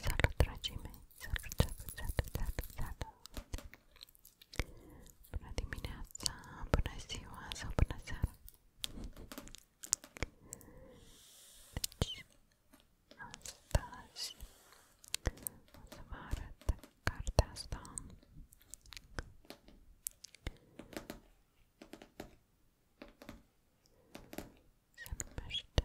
Salut, dragii mei! Salut, salut, salut, salut, salut! Bună dimineața, bună ziua sau bună seara! Deci, astăzi o să vă arăt cartea asta se numește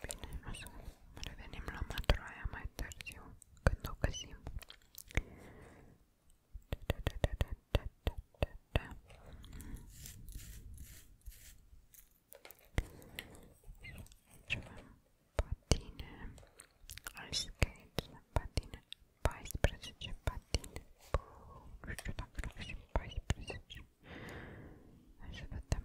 Bine, o să revenim la mătroaia mai târziu, când o găsim. Da, da, da, da, da, da, da, da. Și avem patine, ice skates, patine, 14 patine, nu știu dacă le găsim 14, hai să vedem,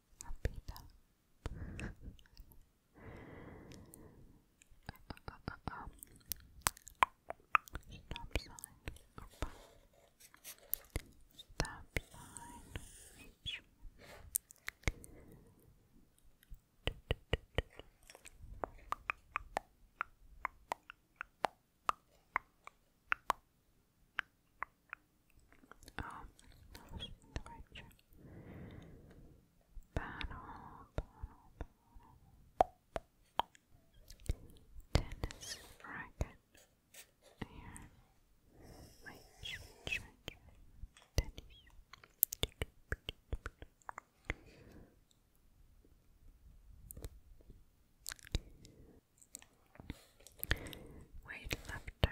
rapida. uh, Stop sign. Stop sign. H. Oh, that was in the picture. Battle, battle, battle. Tennis racket. Here. Wait, change, change. Tennis. Weightlifter,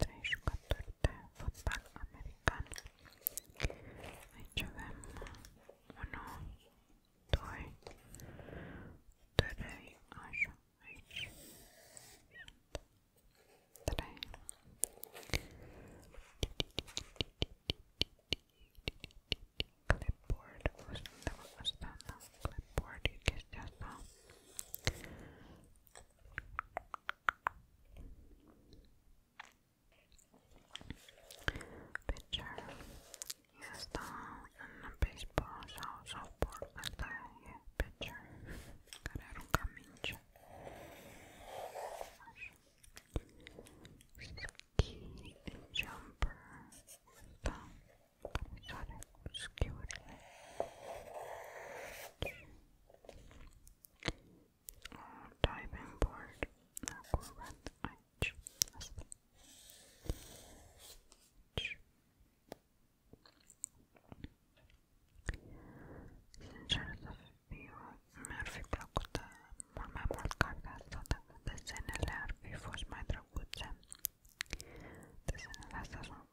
Tre, jugadores de fútbol americano. Ahí llevemos uno, dos, tres, ocho, ocho, tres. Clipboard, usando, usando clipboard que es Picture. Jest to baseball, softball, ale jest picture. Parę rukamięcia. Ski jumper. To, obscurely or diving board equivalent H as well. H. Sincerată fiu, mi-ar fi plăcut mult mai mult cartea asta dacă desenele ar fi fost mai drăguțe. Desenele astea sunt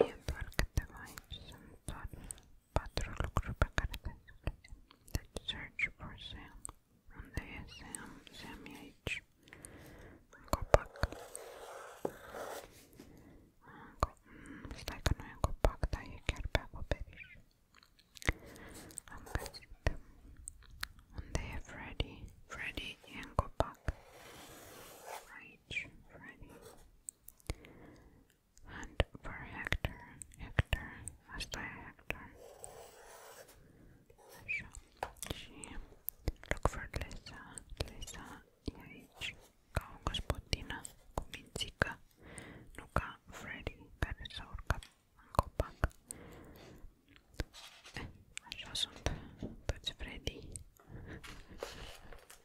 Yandorgatavaysam thought patrol grupa karakteristikası that search for Sam on the Sam, Sammy H. Kopak. Staykanojen kopak tai kärpää koperis. Onko sitten? On the Freddy, Freddy ja kopak. H. Freddy and for Hector, Hector, as by Hector. She look for Lisa, Lisa je ići kao gospodina no ka Freddy Peresorka, ako pak. E, eh, našao Freddy.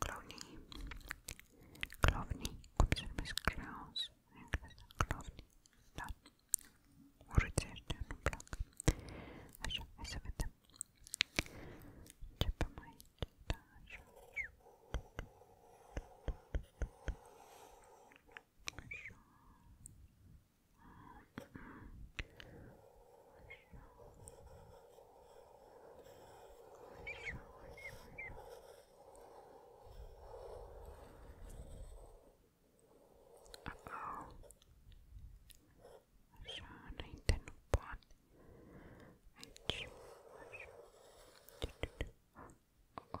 Clowny. Clowny. Cum se numesc clowns în engleză? Clowny. Da. Urâți ăștia, nu-mi plac. Așa, hai uh-oh. Żadnej ten upad. Idź. Ach,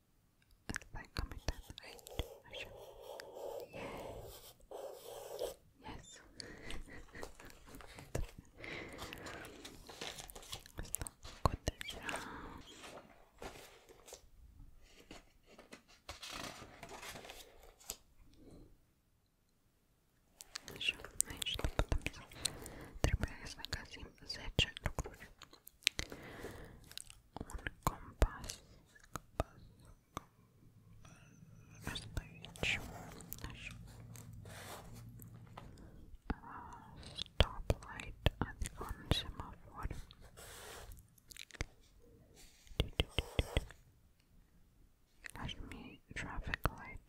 Is that coming down the right direction? Yes. Let's not cut this down. Еще, значит, потому что требуется un compás, compás, compás. Speech. Uh, stoplight at the traffic light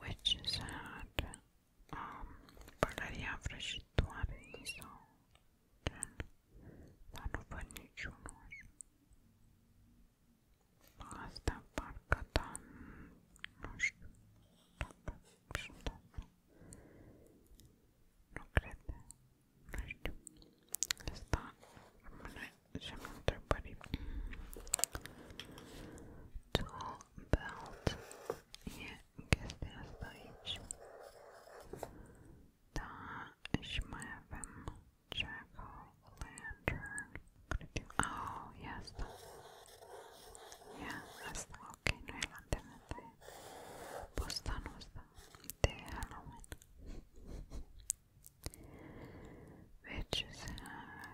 which is at um, Valeria Vrăjitoare sau gen, dar nu văd niciunul. Asta parcă, da, nu știu dacă sunt Nu cred, nu știu. Asta rămâne Szemter buddy Tool belt je gestern stoić da šmevem jackal lantern oh yes yes ok no je lanterna te postanu te Halloween which is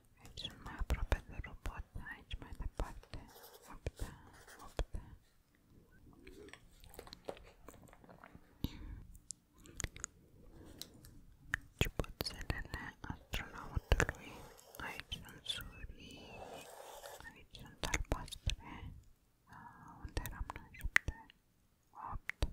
Aici deci sunt mai aproape de robot, aici mai departe. 8, 8. Ciubuțelele astronautului. Aici sunt surii, aici sunt albastre. Ah, unde eram noi? 7, 8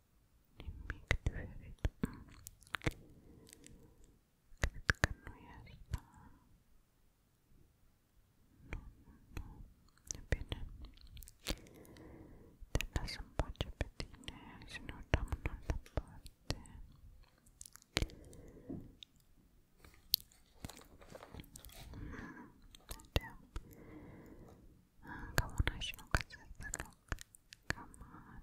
Mimik Düverit. Kırıtkan Beni dinlesin parça bediğine Şimdi ortamın orada parti Come on, I should not consider the look. Come on.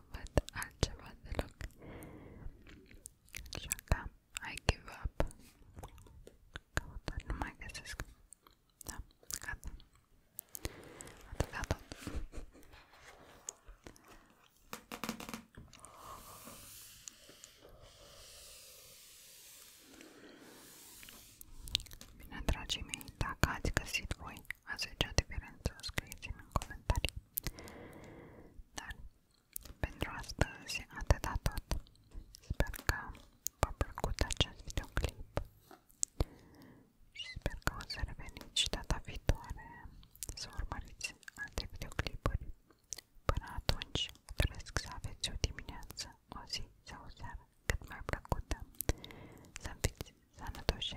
să văd altceva deloc. Așa că I give up. Căutări nu mai găsesc. Da, gata. Atâta Bine, dragii mei, dacă ați găsit voi Ați zicea scrieți-mi în comentarii. Dar pentru astăzi atâta tot. Sper că v plăcut acest videoclip sper că o să reveniți și data viitoare să urmăriți alte videoclipuri. Până atunci, doresc să aveți o sau seară cât mai plăcută, să fiți sănătoși